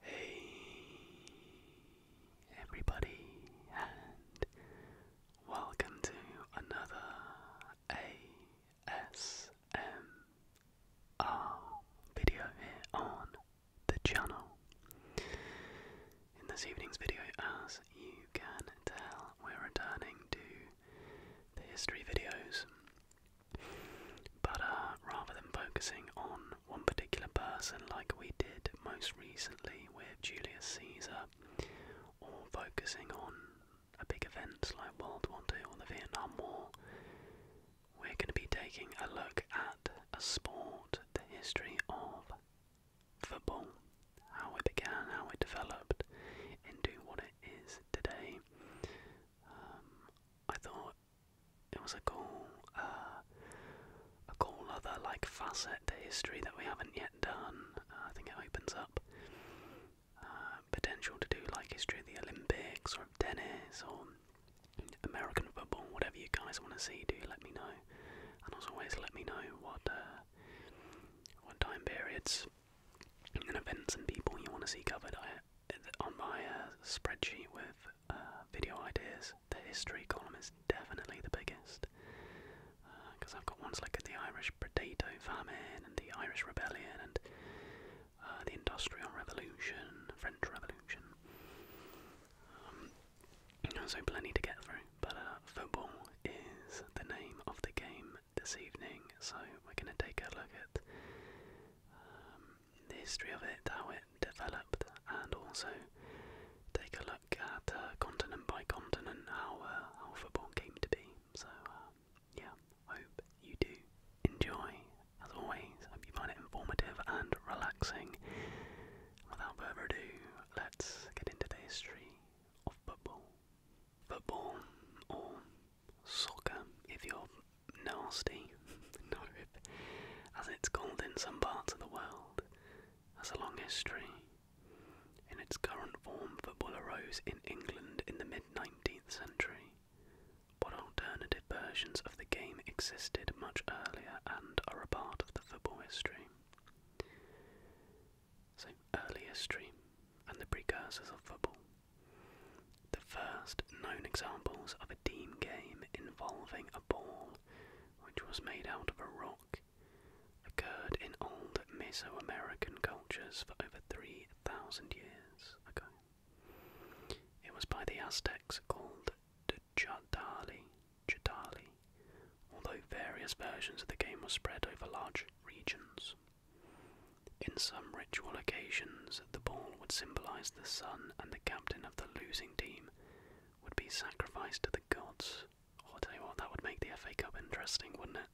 Hey everybody and welcome to another ASMR video here on the channel. In this evening's video as you can tell we're returning to the history videos. But uh, rather than focusing on one particular person, like we did most recently with Julius Caesar, or focusing on a big event like World War II or the Vietnam War, we're going to be taking a look at a sport, the history of football, how it began, how it developed into what it is today. Um, I thought it was a cool, uh, a cool other like facet to history that we haven't yet done. Uh, I think it opens up uh, potential to do like history of the Olympics or of tennis or American football, whatever you guys want to see. Do let me know, and as always, let me know what what time periods and events and people you want to see covered. on my spreadsheet with uh, video ideas, the history column is definitely the biggest. Because uh, I've got ones at the Irish Potato Famine and the Irish Rebellion and uh, the Industrial Revolution, French Revolution. Um, so plenty to get through. But football is the name of the game this evening, so we're going to take a look at um, the history of it, how it developed, and also take a look at uh, continent by continent uh, how, football came to be. So, uh, yeah, hope you do enjoy. As always, hope you find it informative and relaxing. Without further ado, let's get into the history of football. Football, or soccer, if you're nasty, as it's called in some parts of the world, has a long history. In its current form, football arose in England in the mid 19th century, but alternative versions of the game existed much earlier and are a part of the football history. So, earlier history and the precursors of football. The first known examples of a team game involving a ball which was made out of a rock occurred in old Mesoamerican cultures for over 3,000 years It was by the Aztecs called the Chadali, although various versions of the game were spread over large regions. In some ritual occasions, the ball would symbolize the sun and the captain of the losing team would be sacrificed to the gods. Oh, i tell you what, that would make the FA Cup interesting, wouldn't it?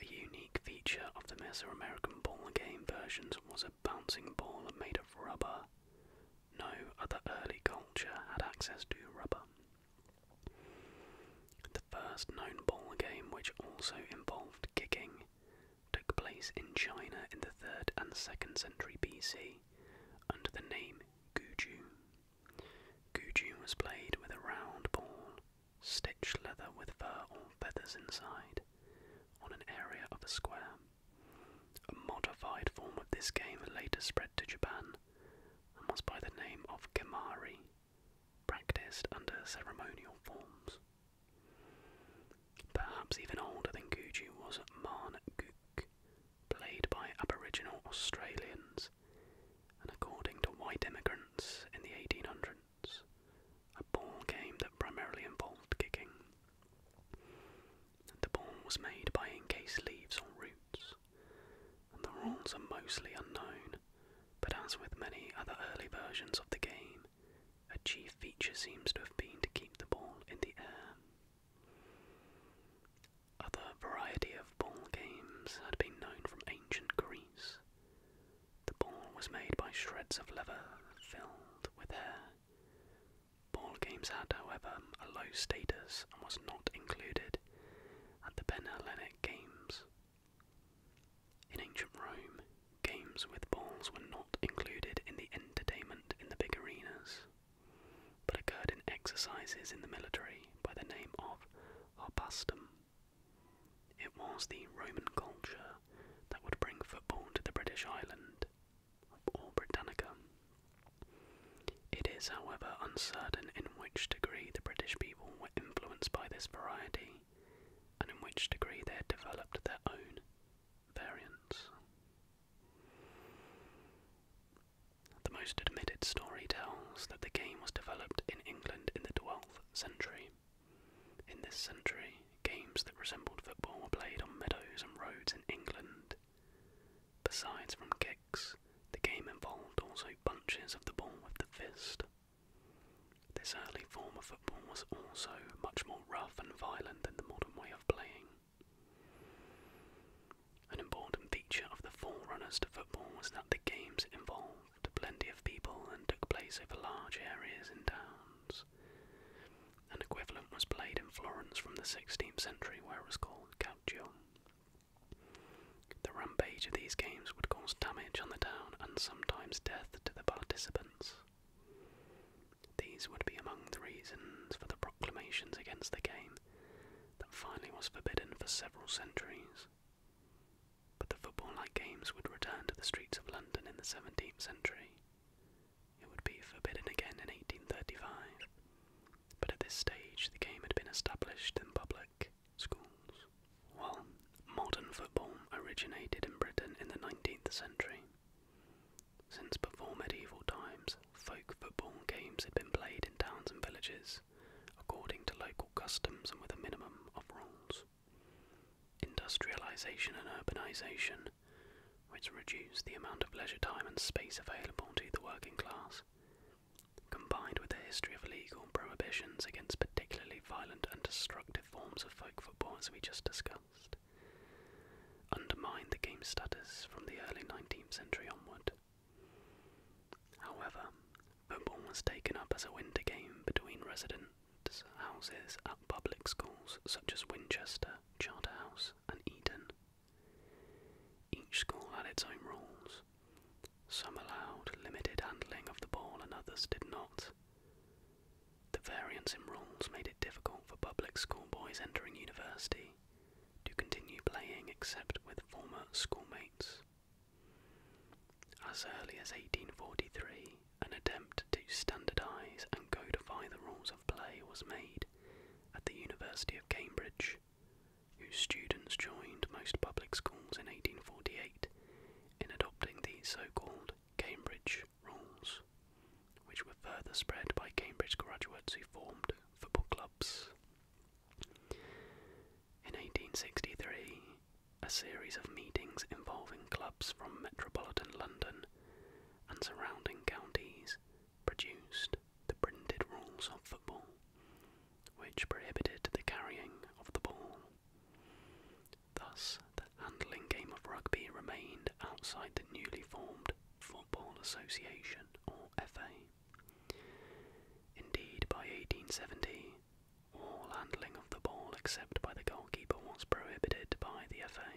A unique feature of the Mesoamerican ball game versions was a bouncing ball made of rubber. No other early culture had access to rubber. The first known ball game which also involved kicking took place in China in the 3rd and 2nd century BC under the name Guju. Guju was played with a round ball, stitched leather with fur or feathers inside, on an area of a square. A modified form of this game later spread to Japan and was by the name of Gamari, practiced under ceremonial forms. Perhaps even older than Guju was Marn played by Aboriginal Australians, and according to white immigrants in the 1800s, a ball game that primarily involved kicking. The ball was made by encased leaves or roots, and the rules are mostly unknown, but as with many other early versions of the game, a chief feature seems to have been to keep the ball in the air. Other variety of ball games had been known from ancient Greece. The ball was made by shreds of leather filled with air. Ball games had, however, a low status and was not included at the Panhellenic Games. In ancient Rome, Games with balls were not included in the entertainment in the big arenas, but occurred in exercises in the military by the name of harpastum. It was the Roman culture that would bring football to the British island, or Britannica. It is, however, uncertain in which degree the British people were influenced by this variety, and in which degree they had developed their own variants. The most admitted story tells that the game was developed in England in the 12th century. In this century, games that resembled football were played on meadows and roads in England. Besides from kicks, the game involved also bunches of the ball with the fist. This early form of football was also much more rough and violent than the modern way of playing. An important feature of the forerunners to football was that the games involved plenty of people and took place over large areas in towns. An equivalent was played in Florence from the 16th century where it was called calcio. The rampage of these games would cause damage on the town and sometimes death to the participants. These would be among the reasons for the proclamations against the game that finally was forbidden for several centuries. But the football like games would return to the streets of London in the 17th century. It would be forbidden again in 1835, but at this stage the game had been established in public schools. While modern football originated in Britain in the 19th century, since before medieval times, folk football games had been played in towns and villages, according to local customs and with a minimum of rules. Industrialisation and urbanisation, which reduced the amount of leisure time and space available to the working class, combined with the history of legal prohibitions against particularly violent and destructive forms of folk football, as we just discussed. Belfast, undermined the game's status from the early 19th century onward. However, football was taken up as a winter game between residents' houses at public schools such as Winchester, Charterhouse, and Eton. Each school had its own rules. Some allowed limited handling of the ball and others did not. The variance in rules made it difficult for public school boys entering university to continue playing except with former schoolmates. As early as 1843, an attempt to standardise and codify the rules of play was made at the University of Cambridge, whose students joined most public schools in 1848 in adopting the so called Cambridge rules, which were further spread by Cambridge graduates who formed football clubs. In 1863, a series of meetings involving clubs from metropolitan London and surrounding counties produced the printed rules of football, which prohibited the carrying of the ball. Thus, handling game of rugby remained outside the newly formed Football Association or FA. Indeed, by 1870, all handling of the ball except by the goalkeeper was prohibited by the FA.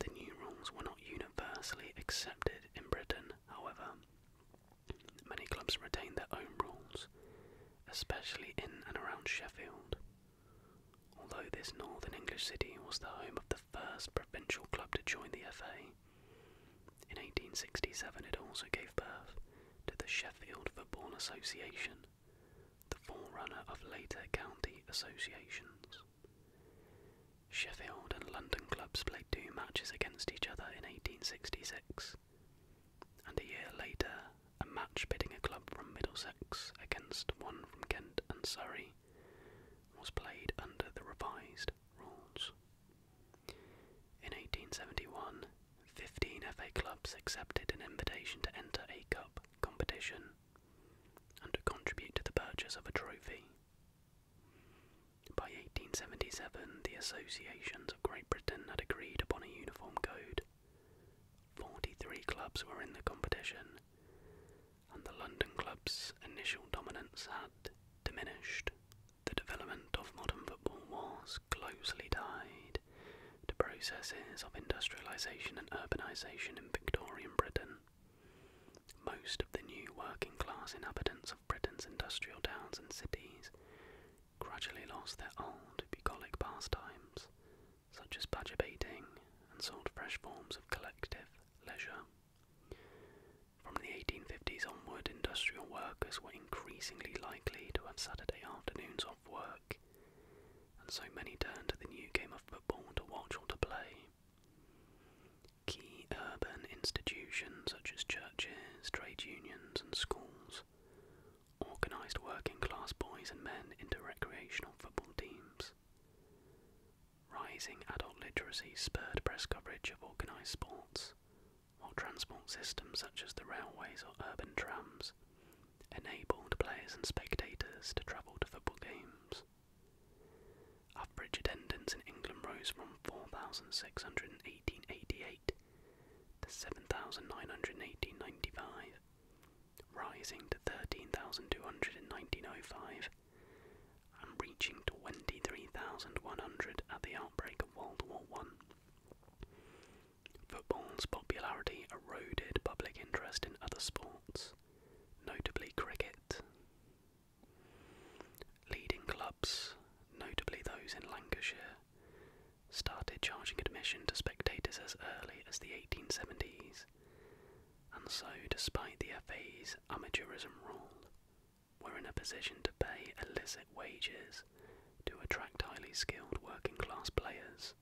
The new rules were not universally accepted in Britain, however. Many clubs retained their own rules, especially in and around Sheffield, Although this northern English city was the home of the first provincial club to join the FA, in 1867 it also gave birth to the Sheffield Football Association, the forerunner of later county associations. Sheffield and London clubs played two matches against each other in 1866, and a year later a match pitting a club from Middlesex against one from Kent and Surrey, was played under the revised rules. In 1871, 15 FA clubs accepted an invitation to enter a cup competition and to contribute to the purchase of a trophy. By 1877, the associations of Great Britain had agreed upon a uniform code 43 clubs were in the competition, and the London club's initial dominance had diminished. The development of modern football was closely tied to processes of industrialisation and urbanisation in Victorian Britain. Most of the new working class inhabitants of Britain's industrial towns and cities gradually lost their old bucolic pastimes such as badger baiting, and sought fresh forms of collective leisure. From the 1850s onward, industrial workers were increasingly likely to have Saturday afternoons off work, and so many turned to the new game of football to watch or to play. Key urban institutions such as churches, trade unions, and schools organised working class boys and men into recreational football teams. Rising adult literacy spurred press coverage of organised sports, while transport systems such as the railways or urban trams enabled players and spectators to travel to football games. Average attendance in England rose from 4,618 in 1888 to in 7,918.95 rising to 13,200 in 1905 and reaching 23,100 at the outbreak of World War I. Football's popularity eroded public interest in other sports, notably cricket. Leading clubs, notably those in Lancashire, started charging admission to spectators as early as the 1870s, and so, despite the FA's amateurism rule, were in a position to pay illicit wages to attract highly skilled working class players,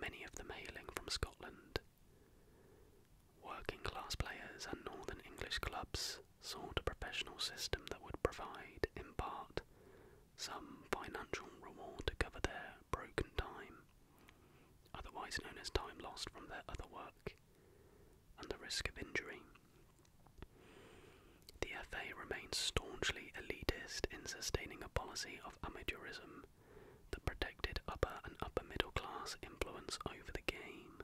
many of them hailing from Scotland. Working class players and Northern English clubs sought a professional system that would provide, in part, some financial reward to cover their broken time otherwise known as time lost from their other work, and the risk of injury. The FA remains staunchly elitist in sustaining a policy of amateurism that protected upper and upper middle class influence over the game.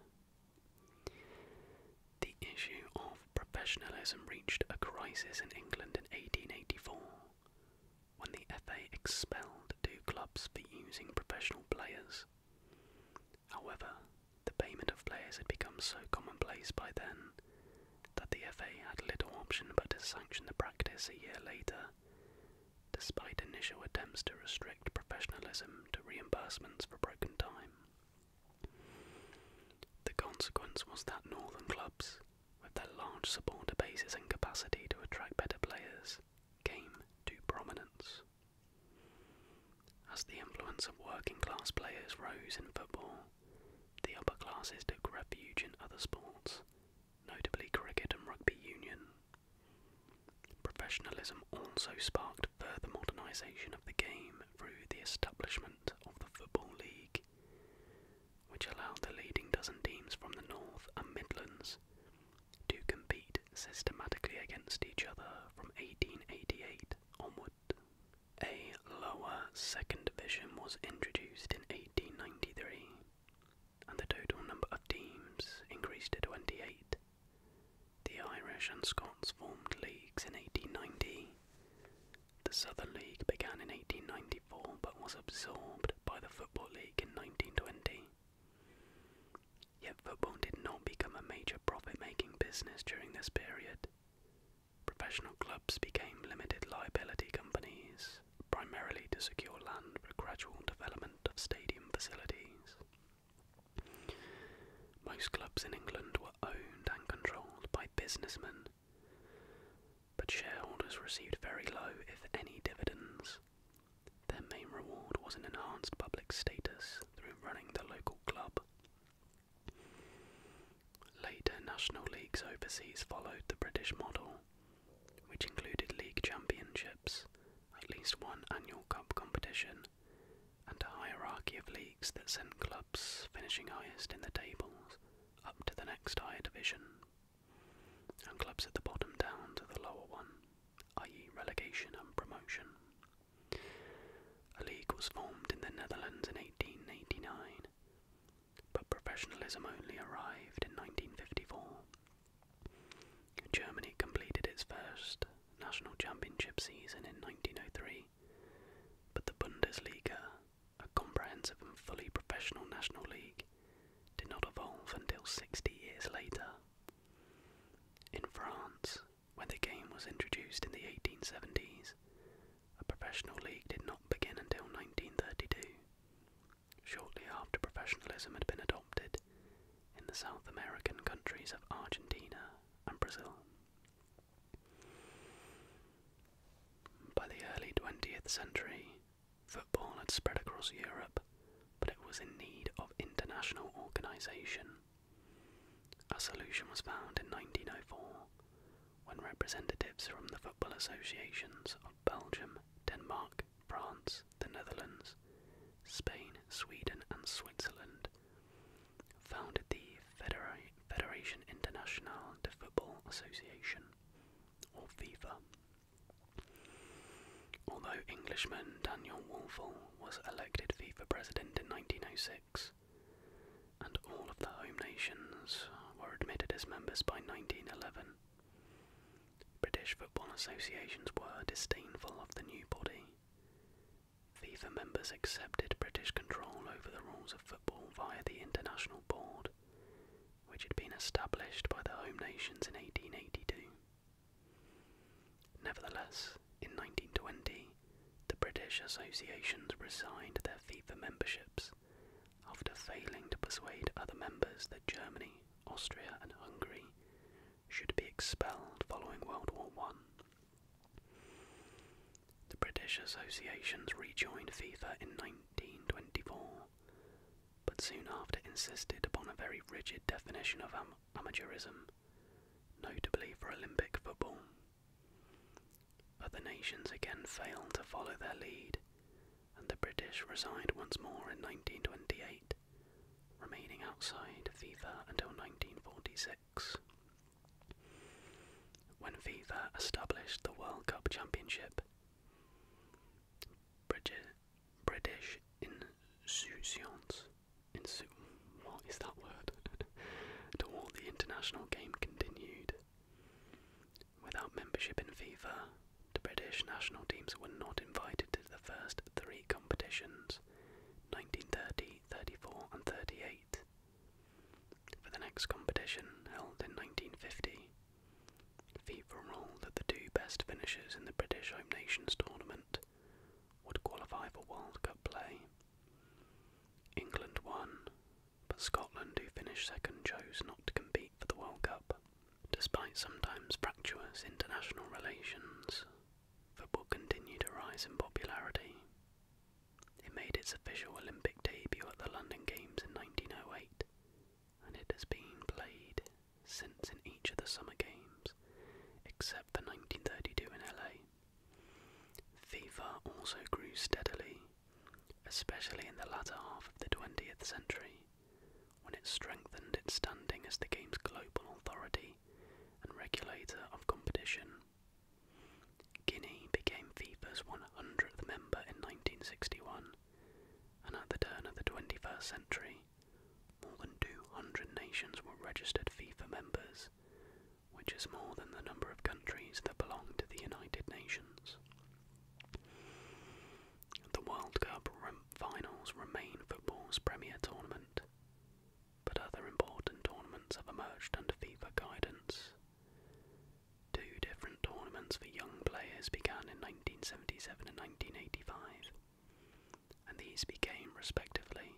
The issue of professionalism reached a crisis in England in 1884 when the FA expelled two clubs for using professional players. However, the payment of players had become so commonplace by then that the FA had little option but to sanction the practice a year later, despite initial attempts to restrict professionalism to reimbursements for broken time. The consequence was that northern clubs, with their large supporter bases and capacity to attract better players, came to prominence. As the influence of working class players rose in football, the upper classes took refuge in other sports, notably cricket and rugby union. Professionalism also sparked further modernisation of the game through the establishment of the Football League, which allowed the leading dozen teams from the North and Midlands to compete systematically against each other from 1888 onward. A lower second division was introduced in 1893, and the total number of teams increased to 28. The Irish and Scots formed leagues in 1890. The Southern League began in 1894 but was absorbed by the Football League in 1920. Yet football did not become a major profit making business during this period. Professional clubs became limited liability companies, primarily to secure land for gradual development of stadium facilities. Most clubs in England were owned and controlled by businessmen, but shareholders received very low, if any, dividends. Their main reward was an enhanced public status through running the local club. Later national leagues overseas followed the British model, which included league championships, at least one annual cup competition, and a hierarchy of leagues that sent clubs finishing highest in the tables up to the next higher division and clubs at the bottom down to the lower one, i.e., relegation and promotion. A league was formed in the Netherlands in 1889, but professionalism only arrived in 1954. Germany completed its first national championship season in 1903, but the Bundesliga, a comprehensive and fully professional national league, did not evolve until 60 years later. In France, when the game was introduced in the 1870s, a professional league did not begin until 1932. Shortly after professionalism had been adopted in the South American countries of Argentina and Brazil. By the early 20th century, Football had spread across Europe, but it was in need of international organisation. A solution was found in 1904 when representatives from the football associations of Belgium, Denmark, France, the Netherlands, Spain, Sweden, and Switzerland founded the Federation Internationale de Football Association, or FIFA. Although Englishman Daniel Wolfel was elected FIFA president in 1906, and all of the home nations were admitted as members by 1911, British football associations were disdainful of the new body. FIFA members accepted British control over the rules of football via the International Board, which had been established by the home nations in 1882. Nevertheless, in 1920, the British associations resigned their FIFA memberships after failing to persuade other members that Germany, Austria, and Hungary should be expelled following World War I. The British associations rejoined FIFA in 1924 but soon after insisted upon a very rigid definition of amateurism, notably for Olympic football. But the nations again failed to follow their lead, and the British resigned once more in 1928, remaining outside FIFA until 1946. When FIFA established the World Cup Championship, British, British insouciance. Insu what is that word? Toward the international game continued. Without membership in FIFA, the British national teams were not invited to the first three competitions 1930, 34, and 38. For the next competition, held in 1950, FIFA ruled that the two best finishers in the British Home Nations tournament would qualify for World Cup play. England won, but Scotland, who finished second, chose not to compete for the World Cup. Despite sometimes fractious international relations, football continued to rise in popularity. It made its official Olympic debut at the London Games in 1908, and it has been played since in each of the Summer Games, except for 1932 in LA. FIFA also grew steadily, especially in the latter half of the 20th century, when it strengthened its standing as the game's global authority and regulator of competition. Guinea became FIFA's 100th member in 1961 and at the turn of the 21st century, more than 200 nations were registered FIFA members, which is more than the number of countries that belong to the United Nations. The World Cup finals remain football's premier tournament, but other important tournaments have emerged under FIFA guidance. Two different tournaments for young players began in 1977 and 1985, and these became, respectively,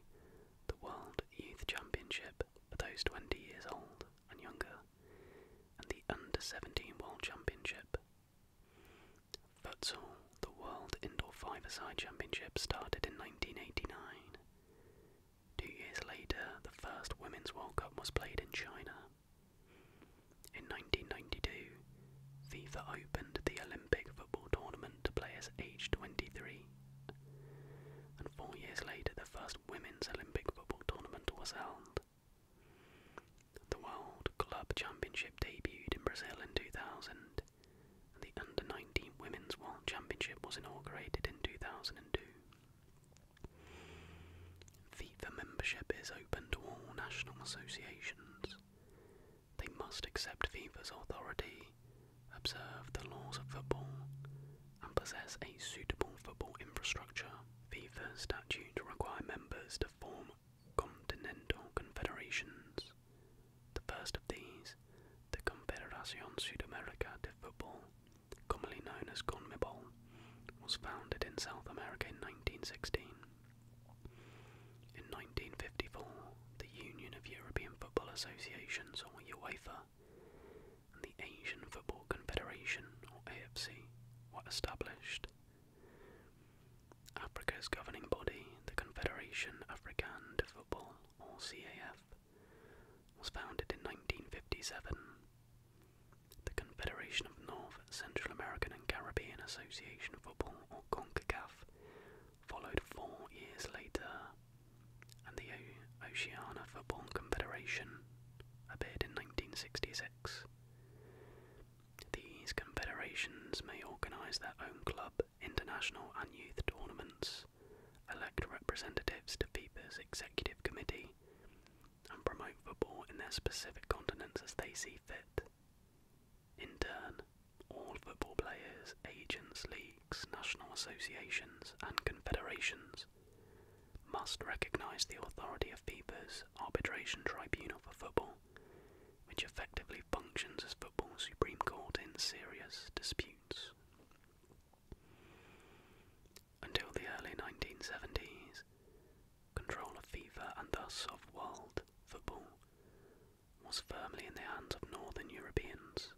the World Youth Championship for those 20 years old and younger, and the Under 17 World Championship. Futsal, the World Indoor Five-A-Side Championship, started in 1989. Two years later, the first Women's World Cup was played in China. In 1992, FIFA opened the Olympic football tournament to players aged 23, and four years later, the first women's Olympic football tournament was held. The World Club Championship debuted in Brazil in 2000, and the Under 19 Women's World Championship was inaugurated in 2002. FIFA membership is open to all national associations. They must accept FIFA's authority, observe the laws of football, and possess a suitable football infrastructure. FIFA's statutes require members to form continental confederations. The first of these, the Confederación Sudamericana de Fútbol, commonly known as CONMEBOL, was founded in South America in 1916. In 1954, the Union of European Football Associations, or UEFA, and the Asian Football Confederation, or AFC, were established. Africa's governing body, the Confederation Africaine de Football, or CAF, was founded in 1957. Federation of North, Central American and Caribbean Association Football, or CONCACAF, followed four years later, and the Oceania Football Confederation appeared in 1966. These confederations may organise their own club, international and youth tournaments, elect representatives to FIFA's executive committee, and promote football in their specific continents as they see fit. In turn, all football players, agents, leagues, national associations, and confederations must recognise the authority of FIFA's Arbitration Tribunal for Football, which effectively functions as football's Supreme Court in serious disputes. Until the early 1970s, Control of FIFA and thus of world football was firmly in the hands of northern Europeans.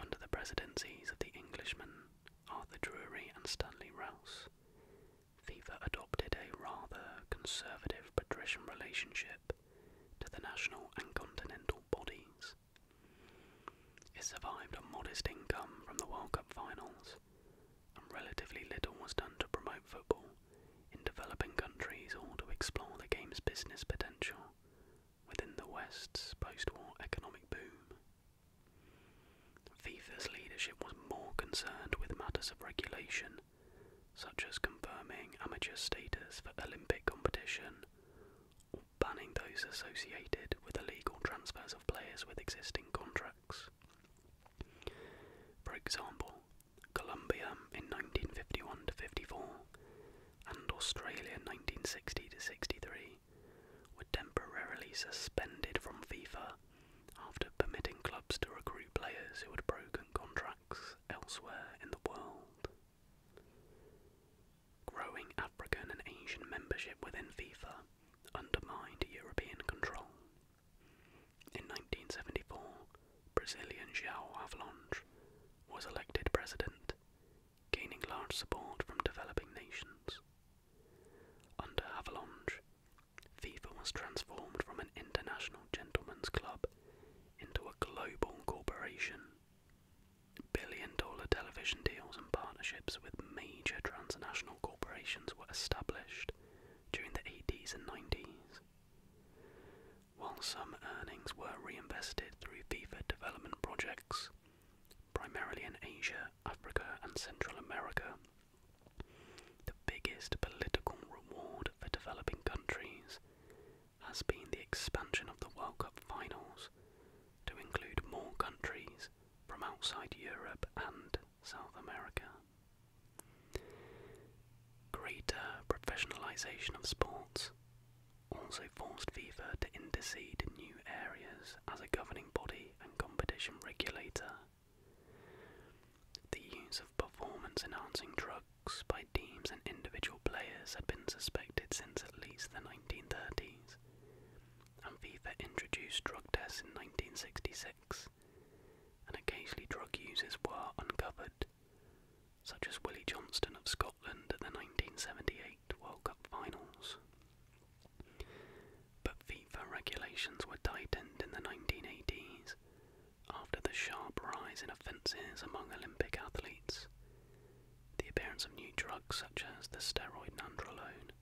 Under the presidencies of the Englishmen Arthur Drury and Stanley Rouse, FIFA adopted a rather conservative patrician relationship to the national and continental bodies. It survived a modest income from the World Cup finals and relatively little was done to promote football in developing countries or to explore the game's business potential within the West's post war economic boom. FIFA's leadership was more concerned with matters of regulation, such as confirming amateur status for Olympic competition or banning those associated with illegal transfers of players with existing contracts. For example, Colombia in 1951 to 54 and Australia 1960 to 63 were temporarily suspended from FIFA after permitting clubs to recruit players who had broken contracts elsewhere in the world. Growing African and Asian membership within FIFA undermined European control. In 1974, Brazilian João Avalanche was elected president, gaining large support from developing nations. Under Avalanche, FIFA was transformed from an international gentlemen's club into a global corporation. Billion dollar television deals and partnerships with major transnational corporations were established, during the 80s and 90s. While some earnings were reinvested through FIFA development projects, primarily in Asia, Africa, and Central America, the biggest political reward for developing countries has been the expansion of the World Cup finals to include more countries from outside Europe and South America. Greater professionalisation of sports also forced FIFA to intercede in new areas as a governing body and competition regulator. The use of performance enhancing drugs by teams and individual players had been suspected since at least the 1930s, and FIFA introduced drug tests in 1966 and occasionally drug users were uncovered, such as Willie Johnston of Scotland at the 1978 World Cup finals. But FIFA regulations were tightened in the 1980s after the sharp rise in offences among Olympic athletes. The appearance of new drugs such as the steroid nandrolone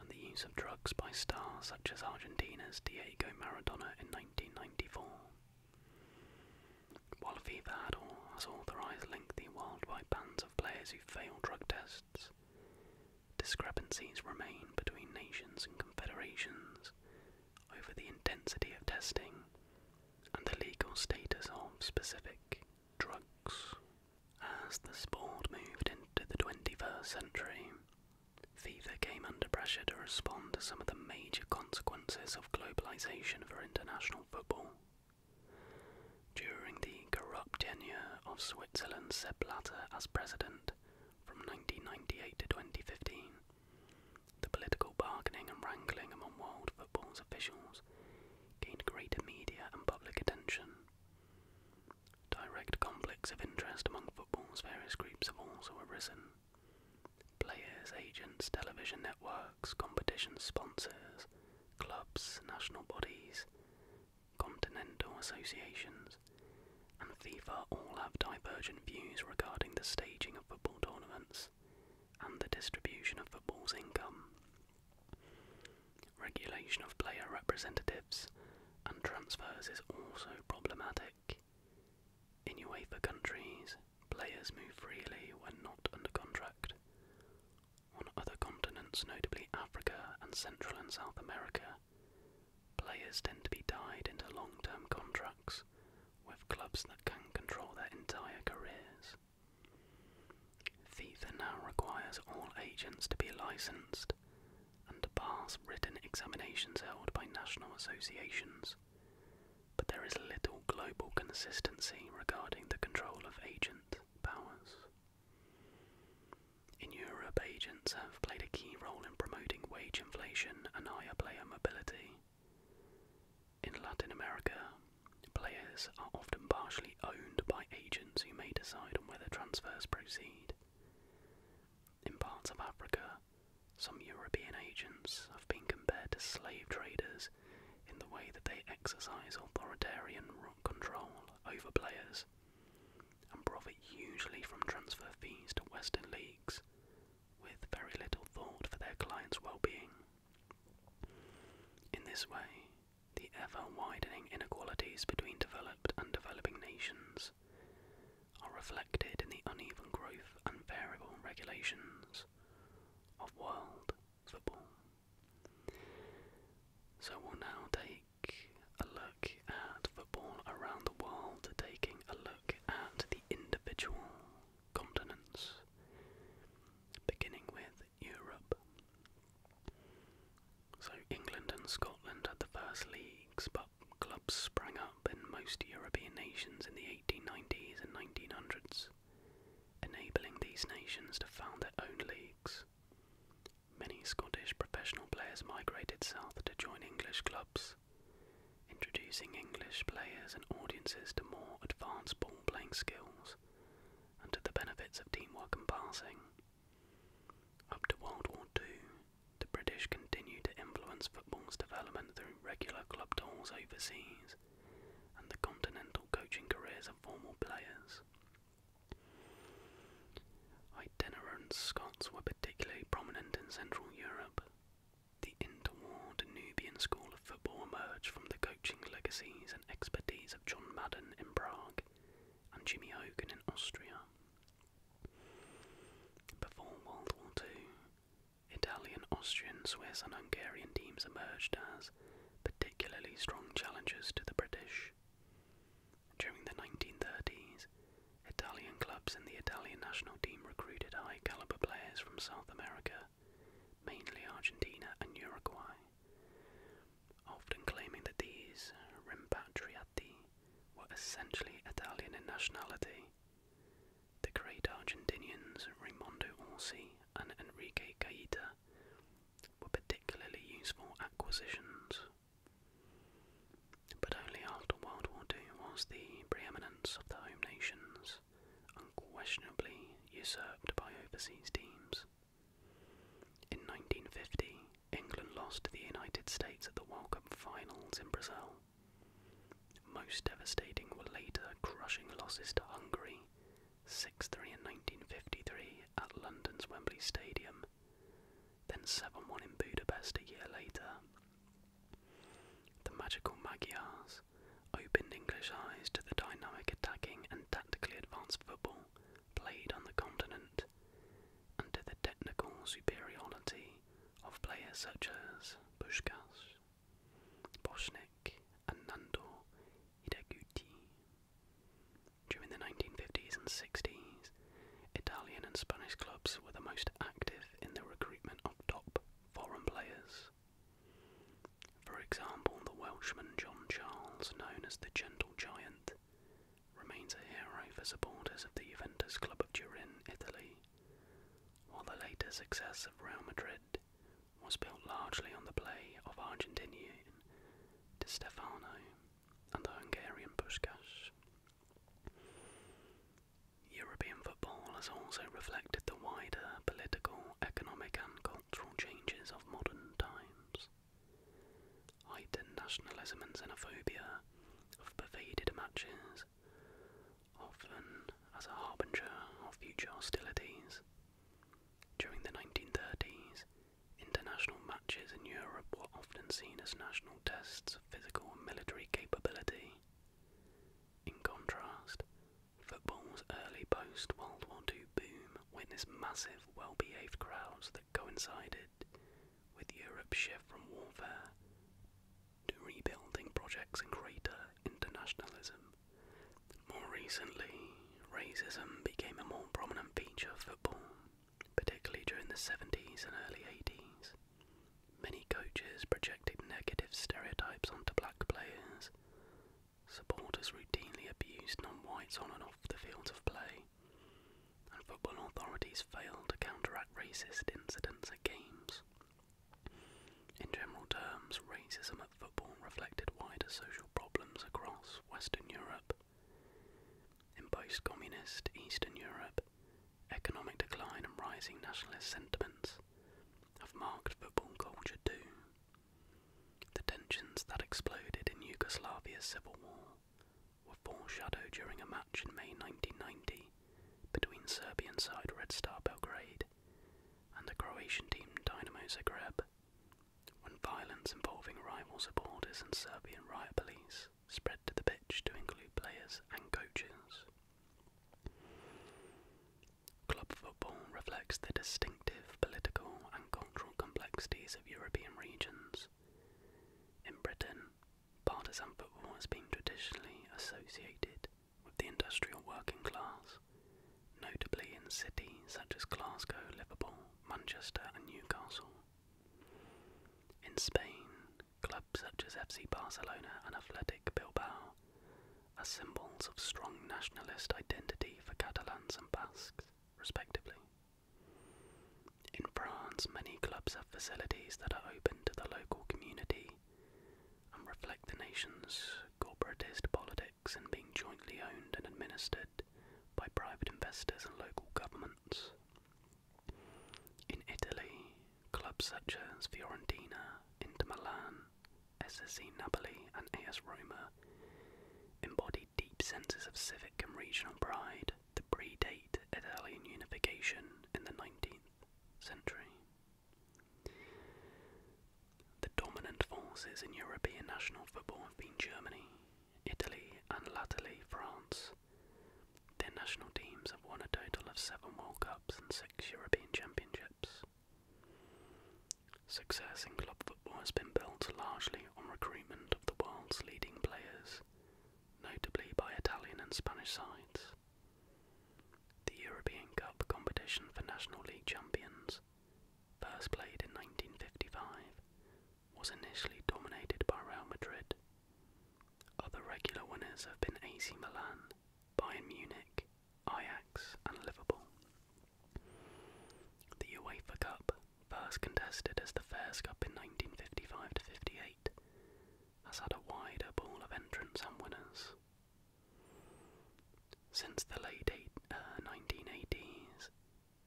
and the use of drugs by stars such as Argentina's Diego Maradona in 1994. While FIFA had or has authorised lengthy worldwide bans of players who fail drug tests, discrepancies remain between nations and confederations over the intensity of testing and the legal status of specific drugs. As the sport moved into the 21st century, FIFA came under pressure to respond to some of the major consequences of globalization for international football. During the corrupt tenure of Switzerland's Sepp Blatter as president from 1998 to 2015, the political bargaining and wrangling among world football's officials gained greater media and public attention. Direct conflicts of interest among football's various groups have also arisen. Players, agents, television networks, competition sponsors, clubs, national bodies, continental associations, and FIFA all have divergent views regarding the staging of football tournaments and the distribution of football's income. Regulation of player representatives and transfers is also problematic. In UEFA countries, players move freely when not under contract. On other continents, notably Africa and Central and South America, players tend to be tied into long term contracts with clubs that can control their entire careers. FIFA now requires all agents to be licensed and pass written examinations held by national associations. But there is little global consistency regarding the control of agent powers. In Europe, agents have played a key role in promoting wage inflation and higher player mobility. In Latin America, players are often partially owned by agents who may decide on whether transfers proceed. In parts of Africa, some European agents have been compared to slave traders in the way that they exercise authoritarian control over players and profit usually from transfer fees to Western leagues with very little thought for their clients' well being. In this way, the ever widening inequalities between developed and developing nations are reflected in the uneven growth and variable regulations of world football. So we'll now take a look at football around the world, taking a look at the individual continents, beginning with Europe. So England and Scotland had the first leagues, but clubs sprang up in most European nations in the 1890s and 1900s, enabling these nations to found their own leagues. Many Scottish professional players migrated south to join English clubs, introducing English players and audiences to more advanced ball playing skills and to the benefits of teamwork and passing. Up to World War II, the British continued to influence football's development through regular club tours overseas and the continental coaching careers of former players. Itinerant Scots were particularly prominent in Central Europe. The interwar Danubian school of football emerged from the coaching legacies and expertise of John Madden in Prague and Jimmy Hogan in Austria. Before World War II, Italian, Austrian, Swiss, and Hungarian teams emerged as particularly strong challenges to the British. During the 1930s, Italian clubs and the Italian national team recruited high caliber players from South America, mainly Argentina and Uruguay, often claiming that these rimpatriati were essentially Italian in nationality. The great Argentinians Raimondo Orsi and Enrique Gaeta were particularly useful acquisitions. But only after World War II was the preeminence of the home nations unquestionably usurped by overseas teams. In 1950, England lost to the United States at the World Cup finals in Brazil. Most devastating were later crushing losses to Hungary, 6 3 in 1953 at London's Wembley Stadium, then 7 1 in Budapest a year later. The magical Magyars opened English eyes to the dynamic attacking and tactically advanced football played on the continent and to the technical superiority of players such as Pushkas, Boschnik, and Nando Hideguti. During the 1950s and 60s, Italian and Spanish clubs were the most active in the recruitment of top foreign players. For example, the Welshman John Charles, known as the Gentle Giant, remains a hero for supporters of the Juventus Club of Turin, Italy, while the later success of Real Madrid was built largely on the play of Argentinian Di Stefano and the Hungarian Puskas. European football has also reflected the wider political, economic, and cultural changes of modern times heightened nationalism and xenophobia pervaded matches, often as a harbinger of future hostilities. During the 1930s, international matches in Europe were often seen as national tests of physical and military capability. In contrast, football's early post World War II boom witnessed massive, well behaved crowds that coincided with Europe shift from warfare to rebuilding projects and greater internationalism. More recently, racism became a more prominent feature of football, particularly during the 70s and early 80s. Many coaches projected negative stereotypes onto black players. Supporters routinely abused non whites on and off the field of play and football authorities failed to counteract racist incidents at games. In general terms, racism at football reflected wider social problems across Western Europe. In post communist Eastern Europe, economic decline and rising nationalist sentiments have marked football culture too. The tensions that exploded in Yugoslavia's civil war were foreshadowed during a match in May 1990 between Serbian side Red Star Belgrade and the Croatian team Dynamo Zagreb, when violence involving rival supporters and Serbian riot police spread to the pitch to include players and coaches. Club football reflects the distinctive political and cultural complexities of European regions. In Britain, Partisan football has been traditionally associated with the industrial working class, notably in cities such as Glasgow, Liverpool, Manchester, and Newcastle. In Spain, clubs such as FC Barcelona and Athletic Bilbao are symbols of strong nationalist identity for Catalans and Basques, respectively. In France, many clubs have facilities that are open to the local community and reflect the nation's corporatist politics and being jointly owned and administered by private investors and local governments. In Italy, clubs such as Fiorentina, Inter Milan, SSC Napoli, and AS Roma embody deep senses of civic and regional pride that predate Italian unification in the 19th century. The dominant forces in European national football have been Germany, Italy, and latterly France. Their national teams have won a total of seven World Cups and six European Championships. Success in club football has been built largely on recruitment of the world's leading players notably by Italian and Spanish sides. The European Cup competition for National League champions, first played in 1955, was initially dominated by Real Madrid. Other regular winners have been AC Milan, Bayern Munich, Ajax, and Liverpool. The UEFA Cup, first contested as the Fairs Cup in 1955 58, has had a wider pool of entrants and winners. Since the late 1980s, uh,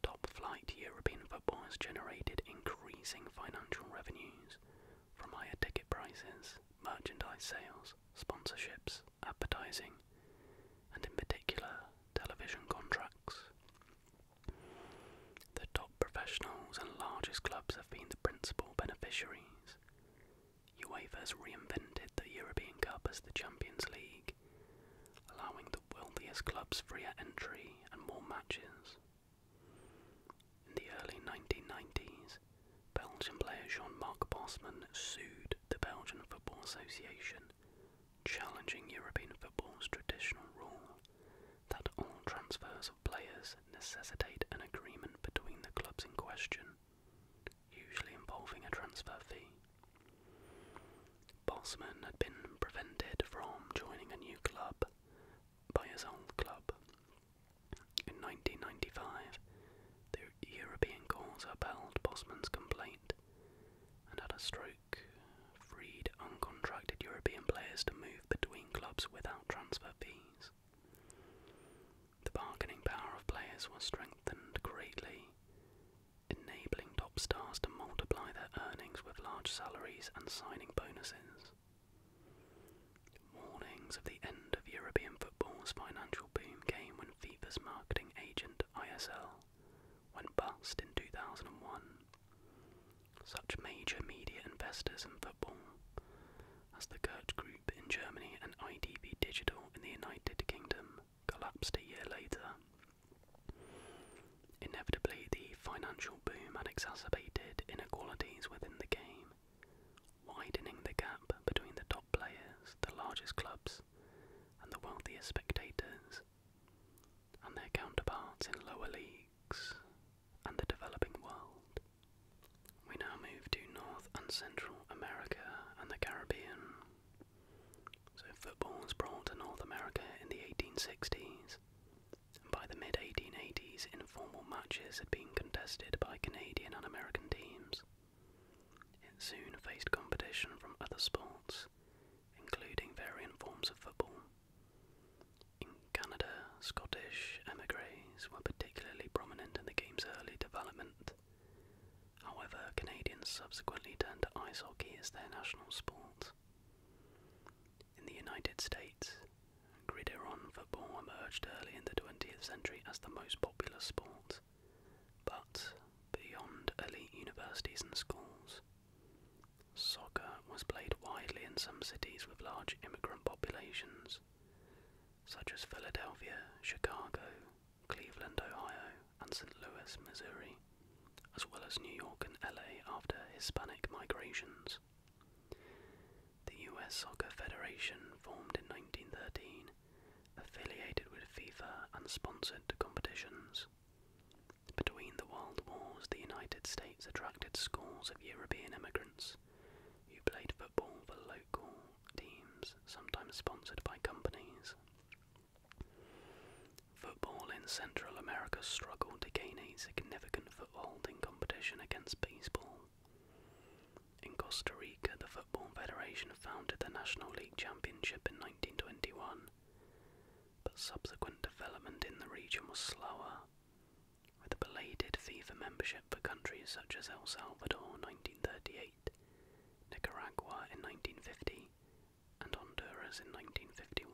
top flight European football has generated increasing financial revenues from higher ticket prices, merchandise sales, sponsorships, advertising, and in particular, television contracts. The top professionals and largest clubs have been the principal beneficiaries. has reinvented the European Cup as the Champions League, allowing the wealthiest clubs freer entry and more matches. In the early 1990s, Belgian player Jean-Marc Bosman sued the Belgian Football Association, challenging European football's traditional rule that all transfers players necessitate an agreement between the clubs in question, usually involving a transfer fee. Bosman had been prevented from joining a new club by his old club. In 1995, the European courts upheld Bosman's complaint and at a stroke freed uncontracted European players to move between clubs without transfer fees. The bargaining power of players was strengthened greatly, enabling top stars to multiply their earnings with large salaries and signing bonuses. Warnings of the end of European football's financial boom came when FIFA's marketing agent ISL went bust in 2001, such major media investors in football as the Gert Group in Germany and IDB Digital in the United Kingdom collapsed a year later. Inevitably, the financial boom exacerbated inequalities within the game, widening the gap between the top players, the largest clubs, and the wealthiest spectators, and their counterparts in lower leagues and the developing world. We now move to North and Central America and the Caribbean. So, football was brought to North America in the 1860s, and by the mid 1880s, informal matches had been contested by Canadian and American teams. It soon faced competition from other sports, including varying forms of football. In Canada, Scottish emigres were particularly prominent in the game's early development. However, Canadians subsequently turned to ice hockey as their national sport. In the United States, gridiron football emerged early in the 20th century as the most popular sport, but beyond elite universities and schools, soccer was played widely in some cities with large immigrant populations, such as Philadelphia, Chicago, Cleveland, Ohio, and St. Louis, Missouri, as well as New York and LA after Hispanic migrations. The US Soccer Federation, formed in 1913, affiliated with FIFA and sponsored competitions. Between the World Wars, the United States attracted scores of European immigrants, you played football for local teams, sometimes sponsored by companies. Football in Central America struggled to gain a significant foothold in competition against baseball. In Costa Rica, the Football Federation founded the National League Championship in 1921, but subsequent development in the region was slower, with a belated FIFA membership for countries such as El Salvador in 1938, Nicaragua in 1950, and Honduras in 1951.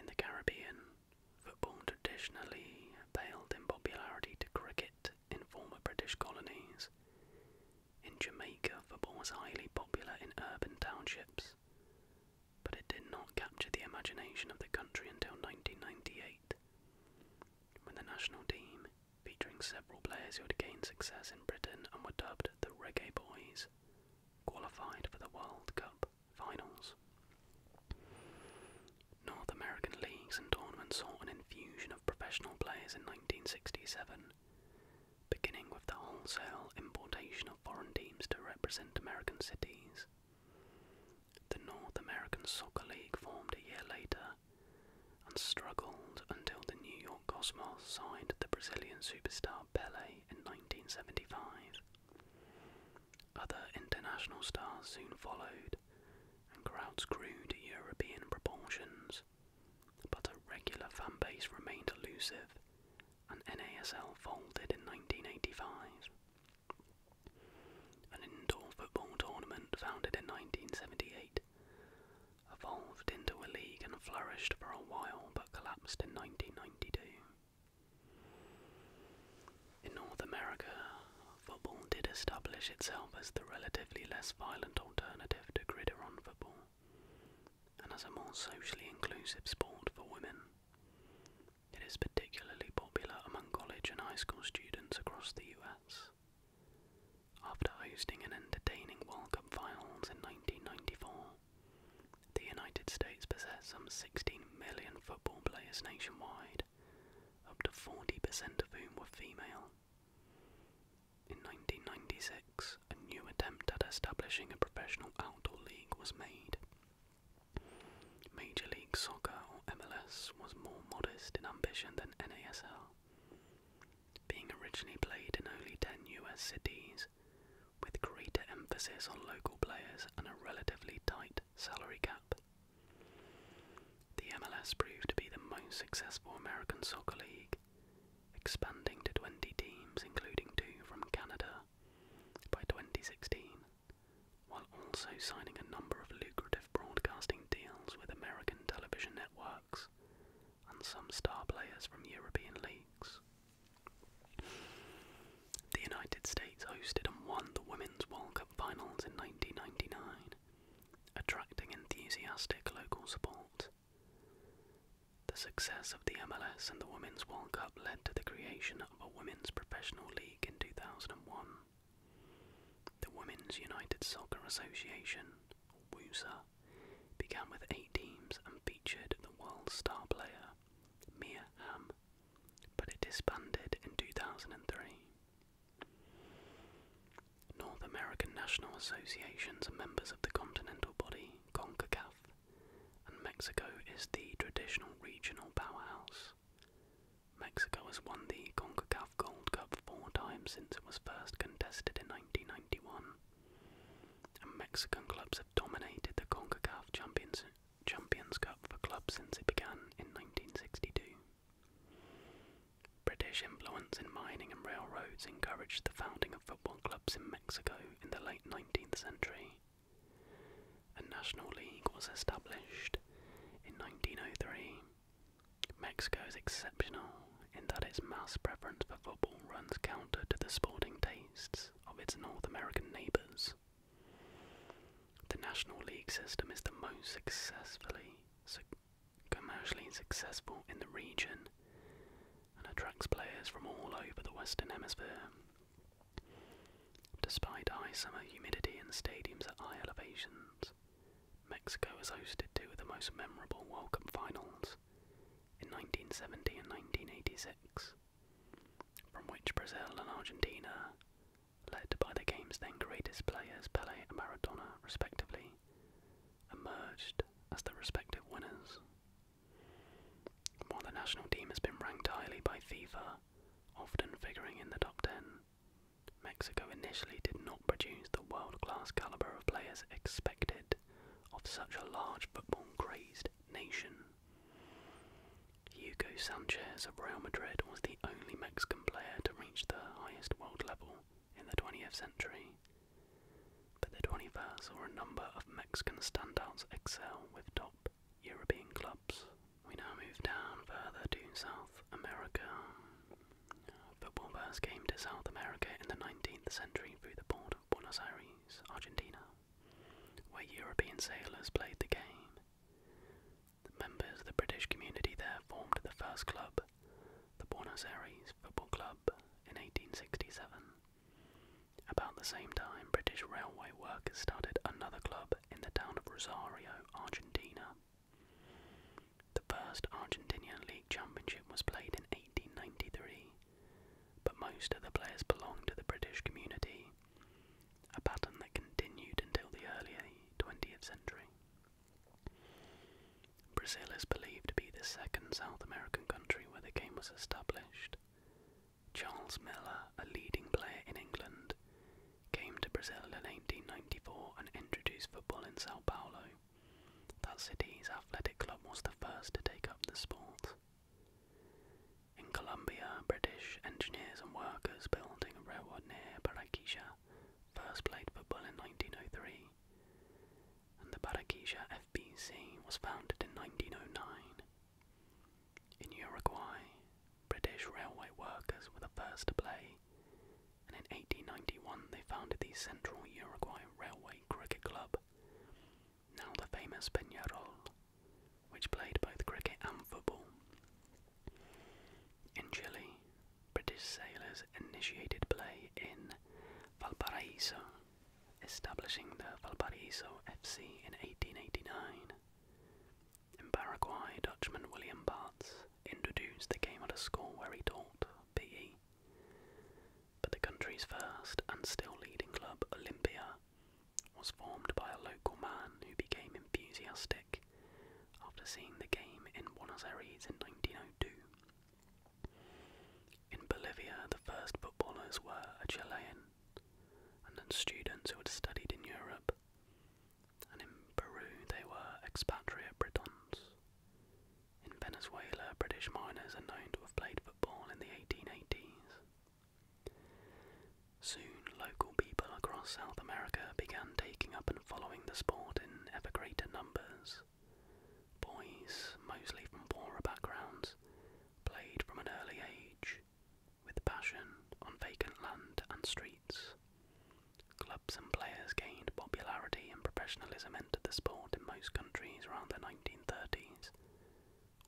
In the Caribbean, football traditionally paled in popularity to cricket in former British colonies. In Jamaica, football was highly popular in urban townships but it did not capture the imagination of the country until 1998, when the national team, featuring several players who had gained success in Britain and were dubbed the Reggae Boys, qualified for the World Cup finals. North American leagues and tournaments saw an infusion of professional players in 1967, beginning with the wholesale importation of foreign teams to represent American cities. The North American Soccer League formed a year later and struggled until the New York Cosmos signed the Brazilian superstar Pelé in 1975. Other international stars soon followed, and crowds grew to European proportions, but a regular fan base remained elusive, and NASL folded in 1985. An indoor football tournament founded in 1978 evolved into a league and flourished for a while but collapsed in 1992. In North America, football did establish itself as the relatively less violent alternative to gridiron football and as a more socially inclusive sport for women. It is particularly popular among college and high school students across the US. After hosting an entertaining World Cup finals in 1994, the United States possessed some 16 million football players nationwide, up to 40% of whom were female. In 1996, a new attempt at establishing a professional outdoor league was made. Major League Soccer or MLS was more modest in ambition than NASL, being originally played in only 10 US cities, with greater emphasis on local players and a relatively tight salary cap. The MLS proved to be the most successful American soccer league, expanding to 20 teams, including two from Canada, by 2016, while also signing a number of lucrative broadcasting deals with American television networks and some star players from European leagues. The United States hosted and won the Women's World Cup finals in 1999, attracting enthusiastic local support. The success of the MLS and the Women's World Cup led to the creation of of a women's professional league in 2001. The Women's United Soccer Association, WUSA, began with eight teams and featured the world star player Mia Hamm, but it disbanded in 2003. North American national associations are members of the continental body CONCACAF, and Mexico is the traditional regional powerhouse. Mexico has won the CONCACAF Gold Cup four times since it was first contested in 1991, and Mexican clubs have dominated the CONCACAF Champions, Champions Cup for clubs since it began in 1962. British influence in mining and railroads encouraged the founding of football clubs in Mexico in the late 19th century a national league was established in 1903. Mexico is exceptional in that its mass preference for football runs counter to the sporting tastes of its North American neighbours. The National League system is the most successfully commercially successful in the region and attracts players from all over the Western Hemisphere. Despite high summer humidity and stadiums at high elevations, Mexico has hosted two of the most memorable World Cup finals in 1970 and 1986, from which Brazil and Argentina, led by the game's then greatest players Pelé and Maradona respectively, emerged as the respective winners. While the national team has been ranked highly by FIFA often figuring in the top 10. Mexico initially did not produce the world class caliber of players expected of such a large football crazed nation. Hugo Sanchez of Real Madrid was the only Mexican player to reach the highest world level in the 20th century. But the 21st saw a number of Mexican standouts excel with top European clubs. We now move down further to South America. Football first came to South America in the 19th century through the port of Buenos Aires, Argentina, where European sailors played the game. The members of the British community there formed the first club, the Buenos Aires Football Club, in 1867. About the same time, British railway workers started another club in the town of Rosario, Argentina. The first Argentinian League Championship was played in 1893, but most of the players belonged to the British community, a pattern that continued until the early 20th century. Brazil is believed to be the second South American country where the game was established, Charles Miller, a leading player in England, came to Brazil in 1894 and introduced football in Sao Paulo. That city's athletic club was the first to take up the sport. In Colombia, British engineers and workers building a railroad near Barranquilla first played football in 1903, and the Barranquilla FBC was founded in 1909. In Uruguay, British railway workers were the first to play, and in 1891 they founded the Central Uruguay Railway Cricket Club, now the famous Peñarol, which played both cricket and football. In Chile, British sailors initiated play in Valparaiso, establishing the Valparaiso FC in 1889. In Paraguay, Dutchman William Bartz introduced the game at a school where he taught PE. But the country's first and still leading club, Olympia, was formed by a local man who became enthusiastic after seeing the game in Buenos Aires in 1902. In Bolivia, the first footballers were a Chilean, and then students who had studied in Europe and in Peru they were expatriate Britons. In Venezuela, British miners are known to have played football in the 1880s. Soon, local people across South America began taking up and following the sport in ever greater numbers. Boys, mostly from poorer backgrounds, played from an early age, with passion on vacant land and streets. Clubs and players gained popularity and professionalism entered the sport in most countries around the 1930s,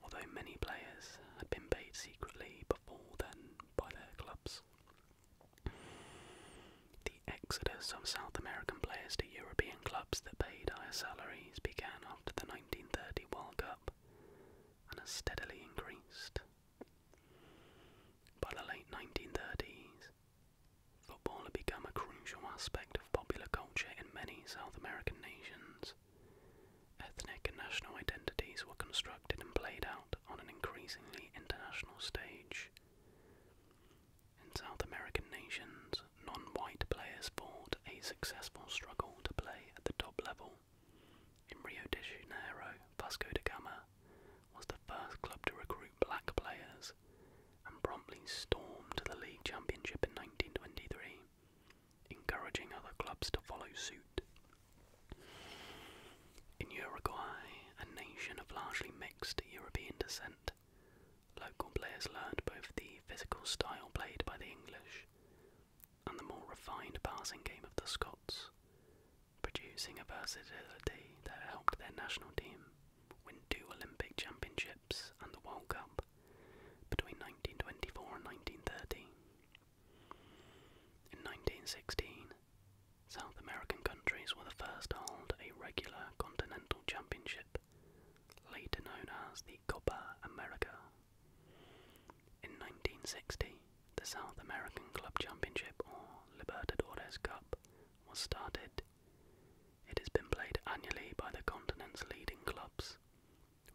although many players had been paid secretly before then by their clubs. The exodus of South American players to European clubs that paid higher salaries began after the 1930 World Cup and has steadily increased by the late 1930s, football had become a crucial aspect of popular culture in many South American nations. Ethnic and national identities were constructed and played out on an increasingly international stage. In South American nations, non white players fought a successful struggle to play at the top level in Rio de Janeiro, Vasco da Gama was the first club to recruit black players and promptly stormed to the league championship in 1923, encouraging other clubs to follow suit. In Uruguay, a nation of largely mixed European descent, local players learned both the physical style played by the English and the more refined passing game of the Scots, producing a versatility that helped their national team win two Olympic championships and the World Cup between 1924 and 1930. In 1916, South American countries were the first to hold a regular continental championship, later known as the Copa America. In 1960, the South American Club Championship, or Libertadores Cup, was started. It has been played annually by the continent's leading clubs,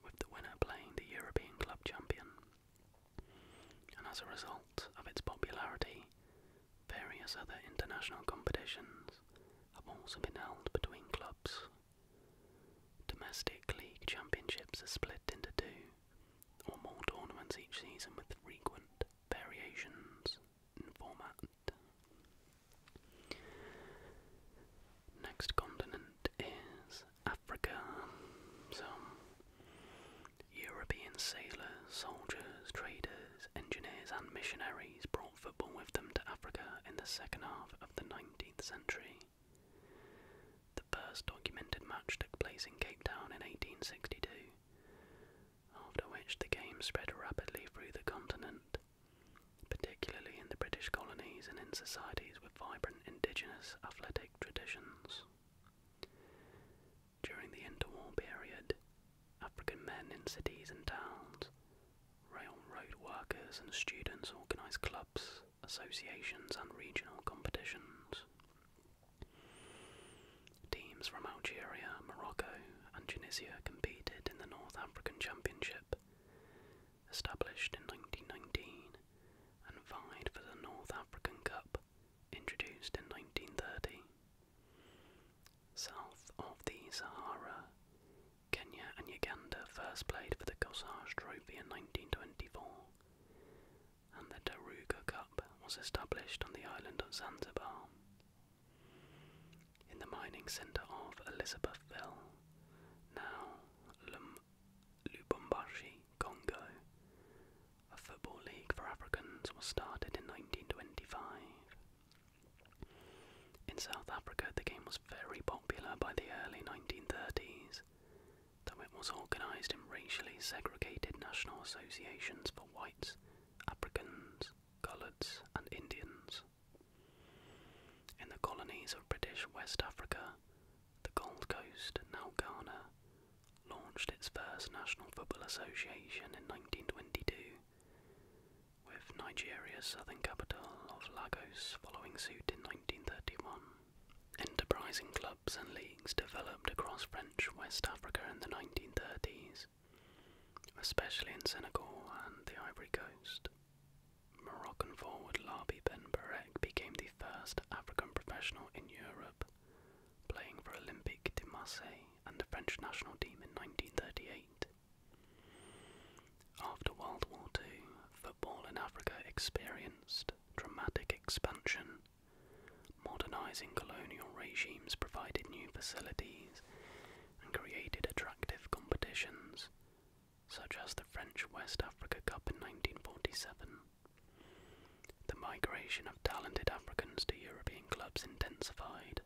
with the winner playing the European club champion. And as a result of its popularity, various other international competitions have also been held between clubs. Domestic league championships are split into two or more tournaments each season with frequent variations in format. Next continent is Africa. Some European sailors, soldiers, traders, engineers, and missionaries brought football with them to Africa in the second half of the 19th century. The first documented match took place in Cape Town in 1862, after which the game spread rapidly through the continent, particularly in the British colonies and in societies with vibrant indigenous athletic traditions. During the interwar period, African men in cities and towns, railroad workers, and students organized clubs associations, and regional competitions. Teams from Algeria, Morocco, and Tunisia competed in the North African Championship, established in 1919, and vied for the North African Cup, introduced in 1930. South of the Sahara, Kenya and Uganda first played for the Cossage Trophy in 1924, and the Daruga Cup was established on the island of Zanzibar. In the mining centre of Elizabethville, now Lum Congo, a football league for Africans was started in 1925. In South Africa, the game was very popular by the early 1930s, though it was organised in racially segregated national associations for whites, Africans, Coloureds, and Indians. In the colonies of British West Africa, the Gold Coast, now Ghana, launched its first National Football Association in 1922, with Nigeria's southern capital of Lagos following suit in 1931. Enterprising clubs and leagues developed across French West Africa in the 1930s, especially in Senegal and the Ivory Coast. Moroccan forward Labi Ben Barek became the first African professional in Europe, playing for Olympique de Marseille and the French national team in 1938. After World War II, football in Africa experienced dramatic expansion. Modernizing colonial regimes provided new facilities and created attractive competitions, such as the French West Africa Cup in 1947. The migration of talented Africans to European clubs intensified.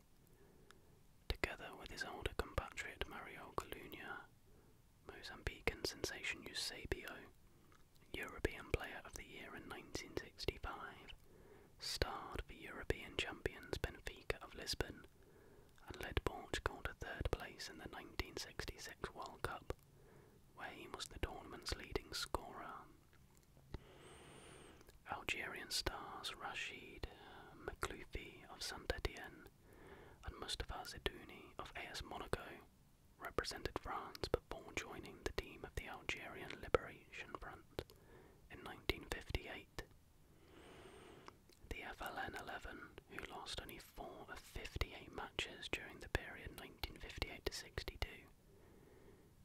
Together with his older compatriot Mario Colunia, Mozambican sensation Eusebio, European Player of the Year in 1965, starred for European champions Benfica of Lisbon, and led Portugal to third place in the 1966 World Cup, where he was the tournament's leading scorer. Algerian stars Rashid Makhloufi of Saint Etienne and Mustafa Zedouni of AS Monaco represented France before joining the team of the Algerian Liberation Front in 1958. The FLN 11, who lost only 4 of 58 matches during the period 1958 to 62,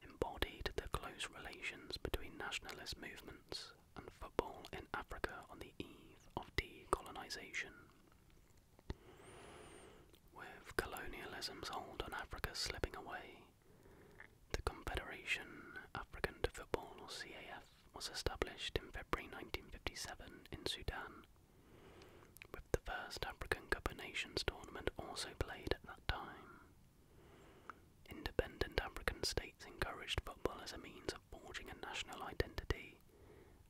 embodied the close relations between nationalist movements and football in Africa on the eve of decolonisation. With colonialism's hold on Africa slipping away, the Confederation African Football, or CAF, was established in February 1957 in Sudan, with the first African Cup of Nations tournament also played at that time. Independent African states encouraged football as a means of forging a national identity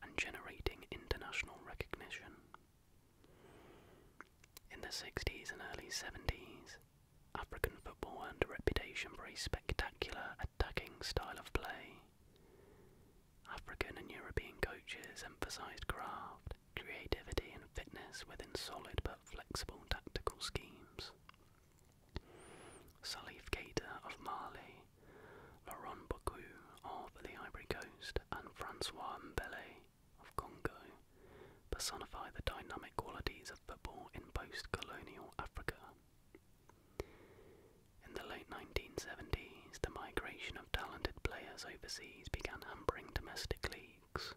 and generating international recognition. In the 60s and early 70s, African football earned a reputation for a spectacular attacking style of play. African and European coaches emphasized craft, creativity, and fitness within solid but flexible tactical schemes. Salif Keita of Mali, Laurent Boku of the Ivory Coast, and Francois Mbele of Congo personify the dynamic qualities of football in post-colonial Africa. In the late 1970s, the migration of talented players overseas began hampering domestic leagues.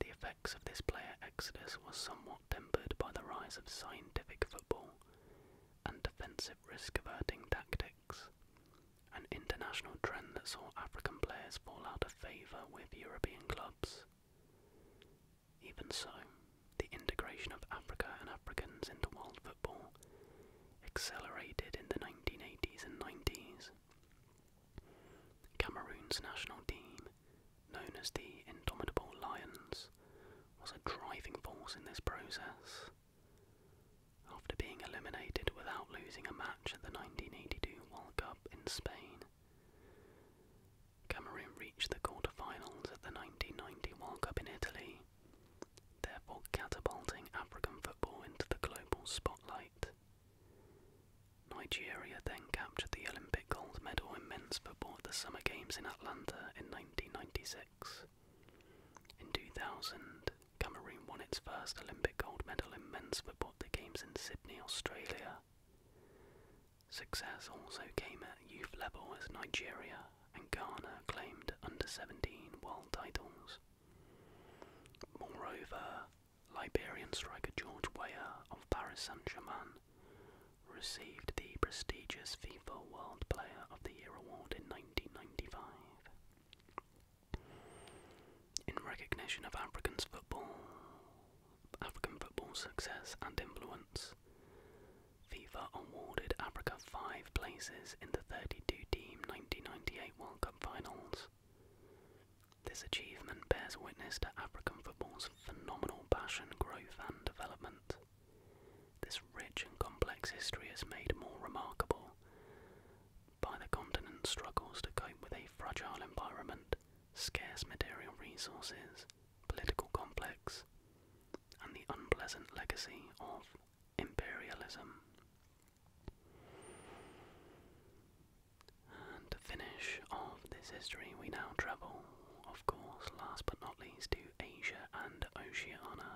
The effects of this player exodus was somewhat tempered by the rise of scientific football and defensive risk-averting tactics, an international trend that saw African players fall out of favour with European clubs. Even so, the integration of Africa and Africans into world football accelerated in the 1980s and 90s. Cameroon's national team, known as the Indomitable Lions, was a driving force in this process, after being eliminated without losing a match at the 1982 World Cup in Spain, Cameroon reached the quarterfinals at the 1990 World Cup in Italy, therefore catapulting African football into the global spotlight. Nigeria then captured the Olympic gold medal in men's football at the Summer Games in Atlanta in 1996. In 2000, Cameroon won its first Olympic gold medal in men's football at the Games in Sydney, Australia. Success also came at youth level as Nigeria and Ghana claimed under 17 world titles. Moreover, Liberian striker George Weah of Paris Saint-Germain received the prestigious FIFA World Player of the Year award in 1995. In recognition of African's football, African football's success and influence, FIFA awarded Africa five places in the 32-team 1998 World Cup finals. This achievement bears witness to African football's phenomenal passion, growth, and development. This rich and complex history is made more remarkable by the continent struggles to cope with a fragile environment, scarce material resources, political complex, and the unpleasant legacy of imperialism. And to finish off this history, we now travel, of course, last but not least, to Asia and Oceania.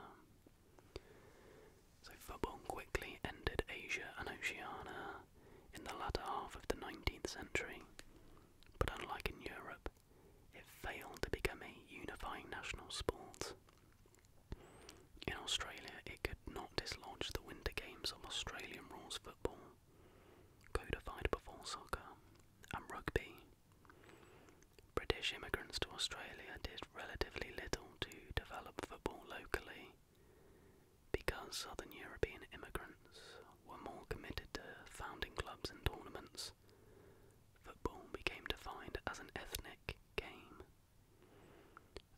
So football quickly ended Asia and Oceania in the latter half of the 19th century, but unlike in Europe, it failed to become a unifying national sport. In Australia, it could not dislodge the Winter Games of Australian rules football, codified before soccer, and rugby. British immigrants to Australia did relatively little to develop football locally because southern European immigrants were more committed to founding clubs and tournaments. Football became defined as an ethnic game.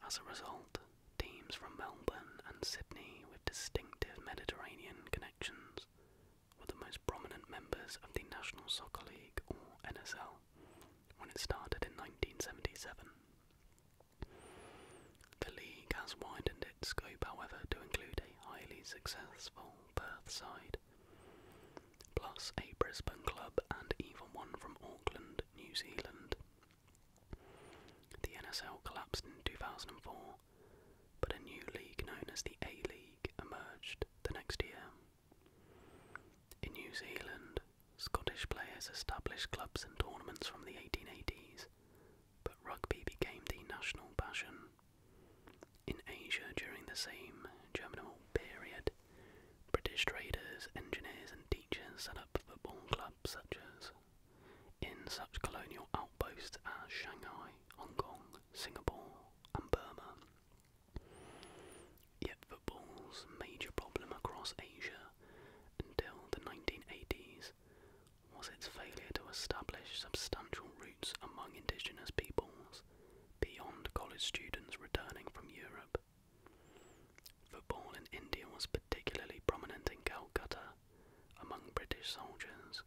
As a result, teams from Melbourne and Sydney with distinctive Mediterranean connections were the most prominent members of the National Soccer League or NSL when it started in 1977. The league has widened its scope, however, to include a highly successful Perth side, plus a Brisbane club and even one from Auckland, New Zealand. The NSL collapsed in 2004, but a new league known as the A League emerged the next year. In New Zealand, Scottish players established clubs and tournaments from the 1880s, but rugby became the national passion. In Asia during the same germinal period, British traders, engineers, and teachers set up football clubs such as in such colonial outposts as Shanghai, Hong Kong, Singapore, and Burma. Yet football's major problem across Asia until the 1980s was its failure to establish substantial roots among indigenous peoples beyond college students returning from Europe. Football in India was particularly prominent in Calcutta among British soldiers,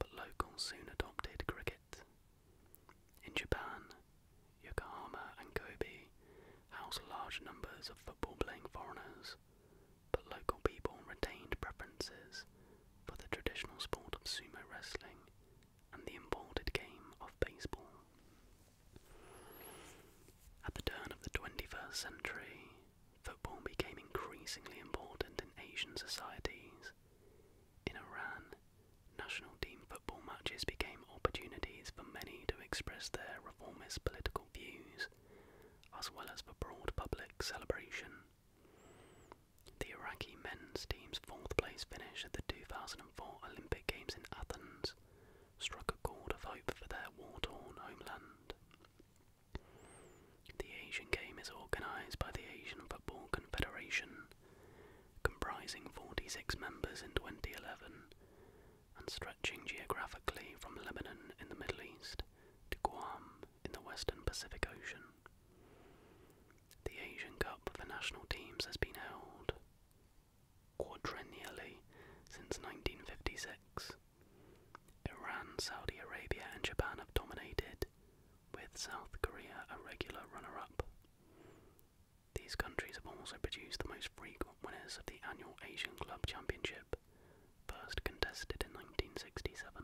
but locals soon adopted cricket. In Japan, Yokohama and Kobe house large numbers of football-playing foreigners, but local people retained preferences for the traditional sport of sumo wrestling and the imported game of baseball. At the turn of the 21st century, football became increasingly important in Asian societies. In Iran, National team football matches became opportunities for many to express their reformist political views, as well as for broad public celebration. The Iraqi men's team's fourth place finish at the 2004 Olympic Games in Athens struck a chord of hope for their war torn homeland. The Asian Game is organised by the Asian Football Confederation comprising 46 members in 2011 and stretching geographically from Lebanon in the Middle East to Guam in the Western Pacific Ocean. The Asian Cup for national teams has been held quadrennially since 1956. Iran, Saudi Arabia, and Japan have dominated, with South Korea a regular runner up. These countries have also produced the most frequent winners of the annual Asian Club Championship, first contested in 1967.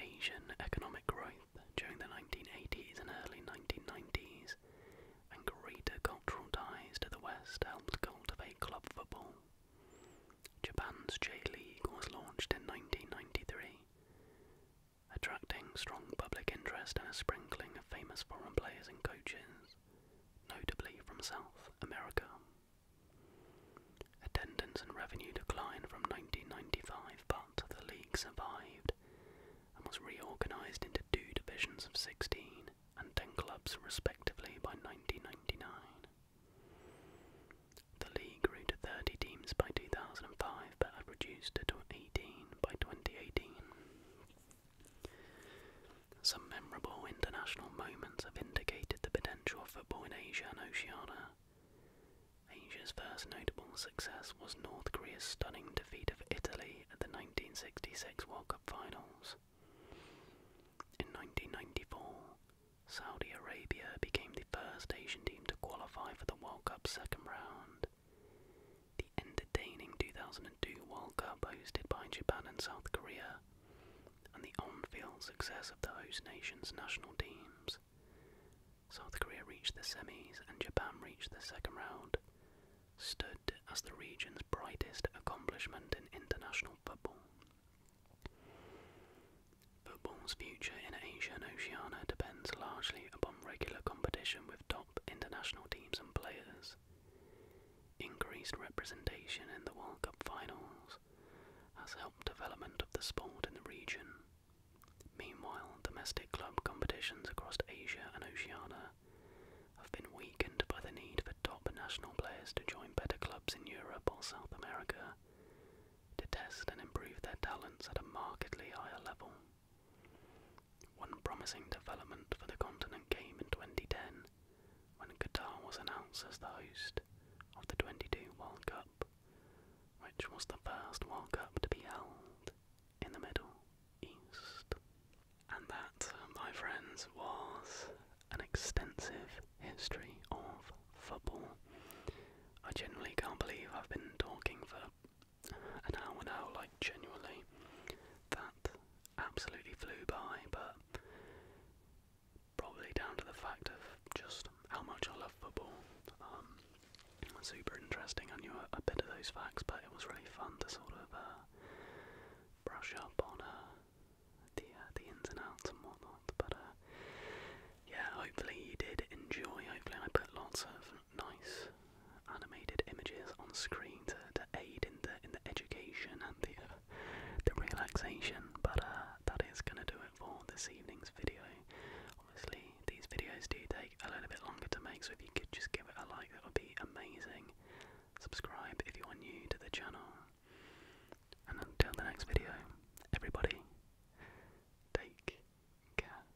Asian economic growth during the 1980s and early 1990s and greater cultural ties to the West helped cultivate club football. Japan's J League was launched in 1993 attracting strong public interest and a sprinkling of famous foreign players and coaches, notably from South America. Attendance and revenue declined from 1995, but the league survived and was reorganised into two divisions of 16 and 10 clubs respectively by 1999. The league grew to 30 teams by 2005 but had reduced to 18 by 2018. Some memorable international moments have indicated the potential for football in Asia and Oceania. Asia's first notable success was North Korea's stunning defeat of Italy at the 1966 World Cup finals. In 1994, Saudi Arabia became the first Asian team to qualify for the World Cup second round the entertaining 2002 World Cup hosted by Japan and South Korea, and the on field success of the host nation's national teams. South Korea reached the semis and Japan reached the second round, stood as the region's brightest accomplishment in international football. Football's future in Asia and Oceania depends largely upon regular competition with top international teams and players, increased representation in the World Cup finals has helped development of the sport in the region. Meanwhile, domestic club competitions across Asia and Oceania have been weakened by the need for top national players to join better clubs in Europe or South America to test and improve their talents at a markedly higher level. One promising development for the continent came in 2010 when Qatar was announced as the host of the 22 World Cup, which was the first World Cup to be held in the Middle East. And that, my friends, was an extensive history of football. I genuinely can't believe I've been talking for an hour now, like genuinely. That absolutely flew by, but probably down to the fact of just how much I love football. Um, super interesting. I knew a, a bit of those facts, but it was really fun to sort of uh, brush up on uh, the uh, the ins and outs and whatnot. But uh, yeah, hopefully you did enjoy. Hopefully I put lots of nice animated images on screen to, to aid in the in the education and the uh, the relaxation. But uh, that is gonna do it for this evening's video. Obviously, these videos do take a little bit longer to make, so if you could just give it a like, that would be amazing. Subscribe if you are new to the channel. And until the next video, everybody, take care.